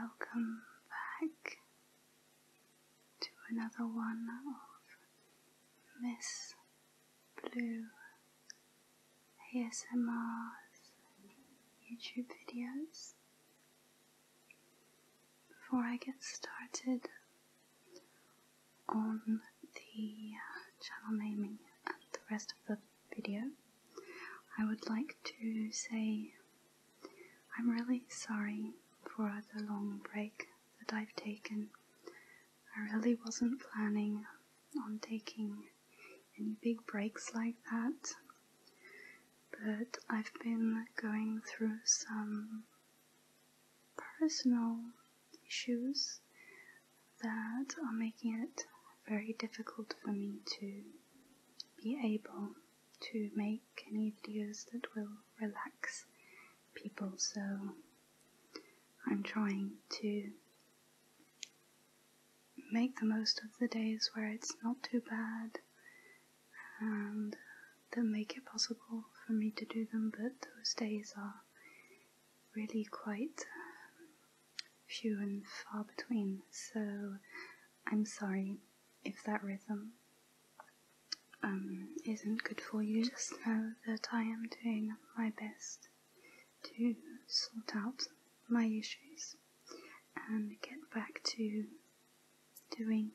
Welcome back to another one of Miss Blue ASMR YouTube videos. Before I get started on the uh, channel naming and the rest of the video, I would like to say I'm really sorry for the long break that I've taken. I really wasn't planning on taking any big breaks like that. But I've been going through some personal issues that are making it very difficult for me to be able to make any videos that will relax people so I'm trying to make the most of the days where it's not too bad and that make it possible for me to do them, but those days are really quite um, few and far between. So I'm sorry if that rhythm um, isn't good for you. Just know that I am doing my best to sort out my issues and get back to doing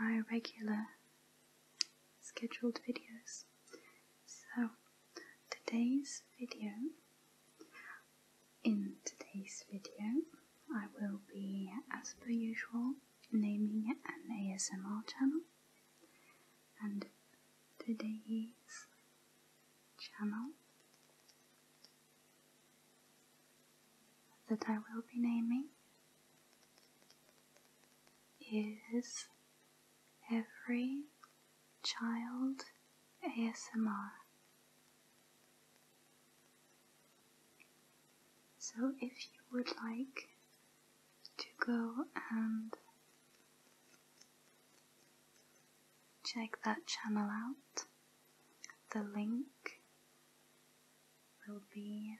my regular scheduled videos. So, today's video, in today's video, I will be, as per usual, naming an ASMR channel. And today is channel that I will be naming is Every Child ASMR. So if you would like to go and check that channel out. The link will be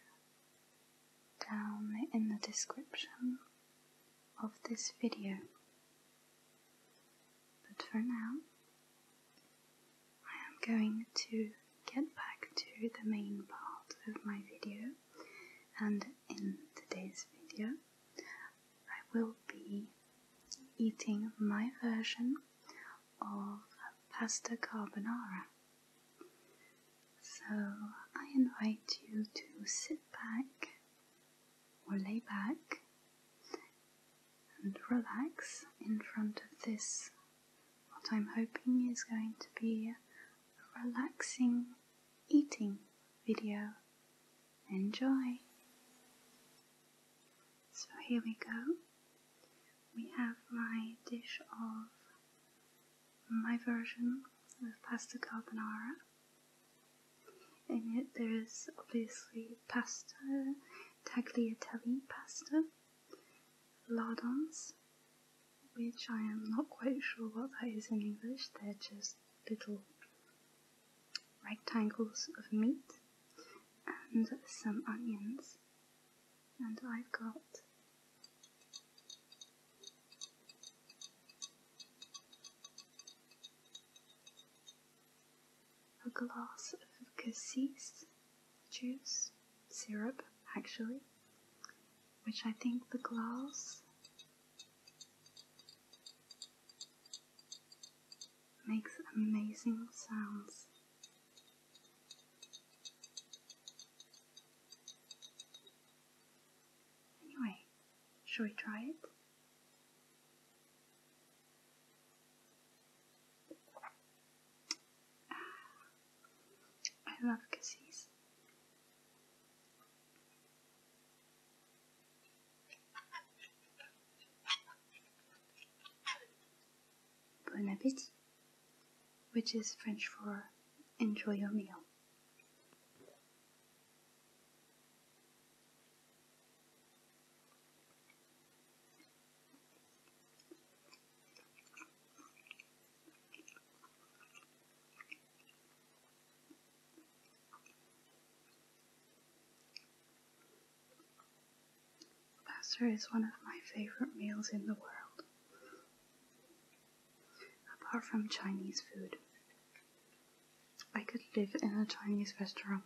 down in the description of this video. But for now, I am going to get back to the main part of my video and in today's video I will be eating my version of pasta carbonara. So I invite you to sit back or lay back and relax in front of this, what I'm hoping is going to be a relaxing eating video Enjoy! So here we go. We have my dish of my version of pasta carbonara. and yet there is obviously pasta, tagliatelle pasta, lardons, which I am not quite sure what that is in English, they're just little rectangles of meat and some onions, and I've got a glass of cassis juice syrup actually, which I think the glass makes amazing sounds. Anyway, shall we try it? I love kisses. Bon appétit, which is French for enjoy your meal. Pasta is one of my favorite meals in the world, apart from Chinese food. I could live in a Chinese restaurant.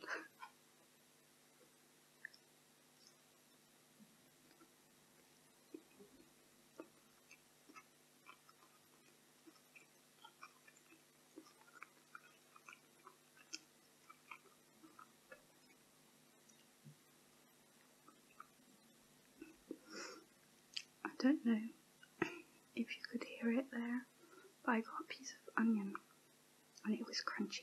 I don't know if you could hear it there, but I got a piece of onion and it was crunchy.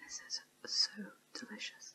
This is so delicious.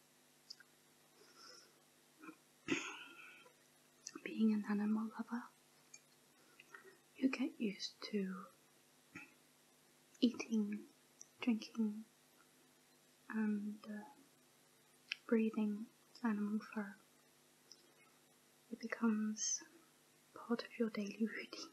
Being an animal lover, you get used to eating, drinking, and uh, breathing animal fur. It becomes part of your daily routine.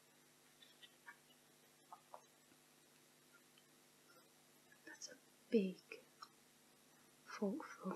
That's a big forkful.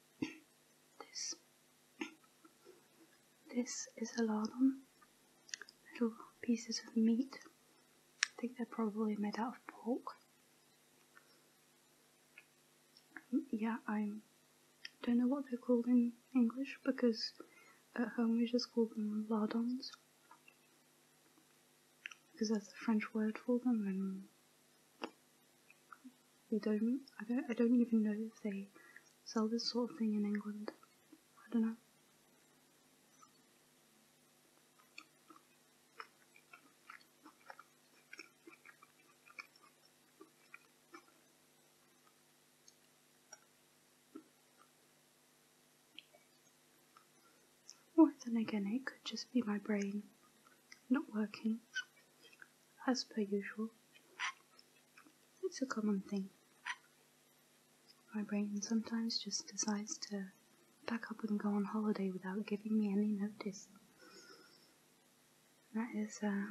This, this is a lardon, little pieces of meat. I think they're probably made out of pork. Mm, yeah, I don't know what they're called in English because at home we just call them lardons because that's the French word for them and they don't I don't I don't even know if they sell this sort of thing in England. I don't know. Or then again, it could just be my brain not working as per usual. It's a common thing. My brain sometimes just decides to pack up and go on holiday without giving me any notice. That is uh,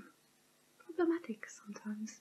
problematic sometimes.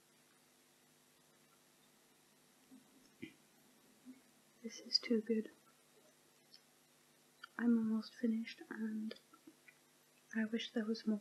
This is too good. I'm almost finished and I wish there was more.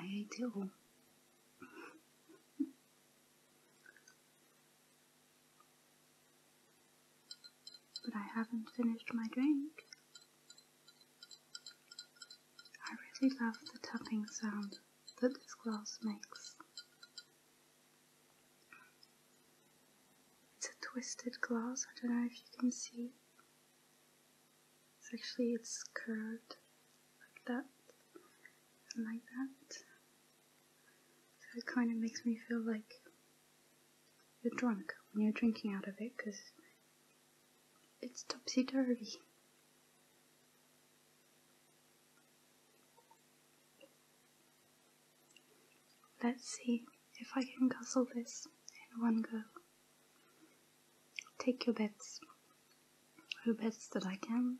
I do. But I haven't finished my drink. I really love the tapping sound that this glass makes. It's a twisted glass, I don't know if you can see. It's actually, it's curved like that like that. So it kind of makes me feel like you're drunk when you're drinking out of it because it's topsy-turvy. Let's see if I can guzzle this in one go. Take your bets. Who bets that I can?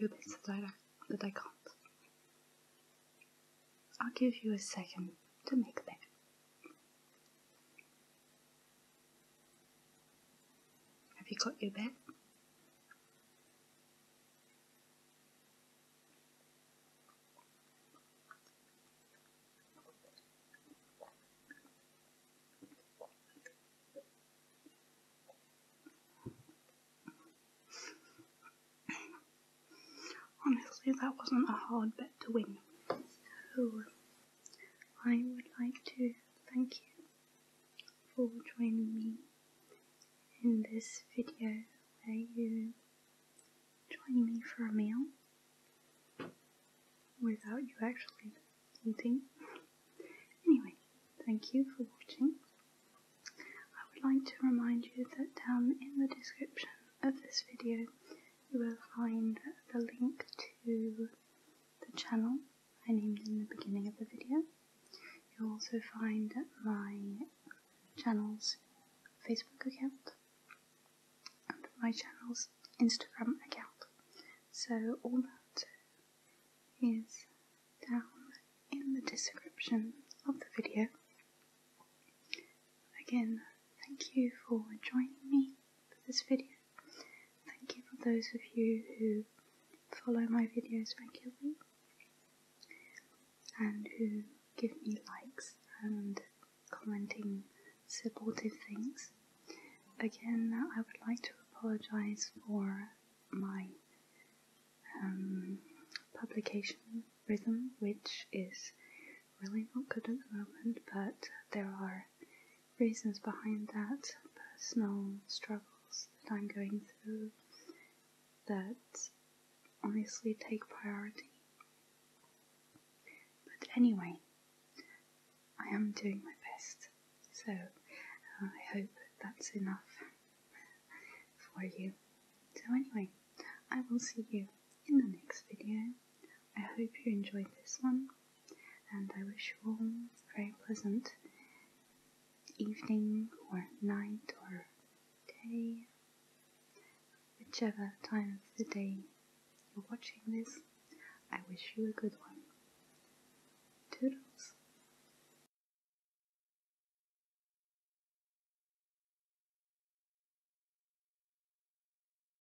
Who bets that I, that I can't? I'll give you a second to make a bet. Have you got your bet? Honestly, that wasn't a hard bet to win. So, I would like to thank you for joining me in this video where you join me for a meal without you actually eating. Anyway, thank you for watching. I would like to remind you that down in the description of this video you will find the link to the channel I named in the beginning of the video. You'll also find my channel's Facebook account and my channel's Instagram account. So all that is down in the description of the video. Again, thank you for joining me for this video. Thank you for those of you who follow my videos regularly and who give me likes and commenting supportive things. Again, I would like to apologise for my um, publication rhythm, which is really not good at the moment, but there are reasons behind that, personal struggles that I'm going through that honestly take priority. But anyway, I am doing my best, so uh, I hope that's enough for you. So anyway, I will see you in the next video. I hope you enjoyed this one, and I wish you all a very pleasant evening, or night, or day, whichever time of the day you're watching this. I wish you a good one. Toodles!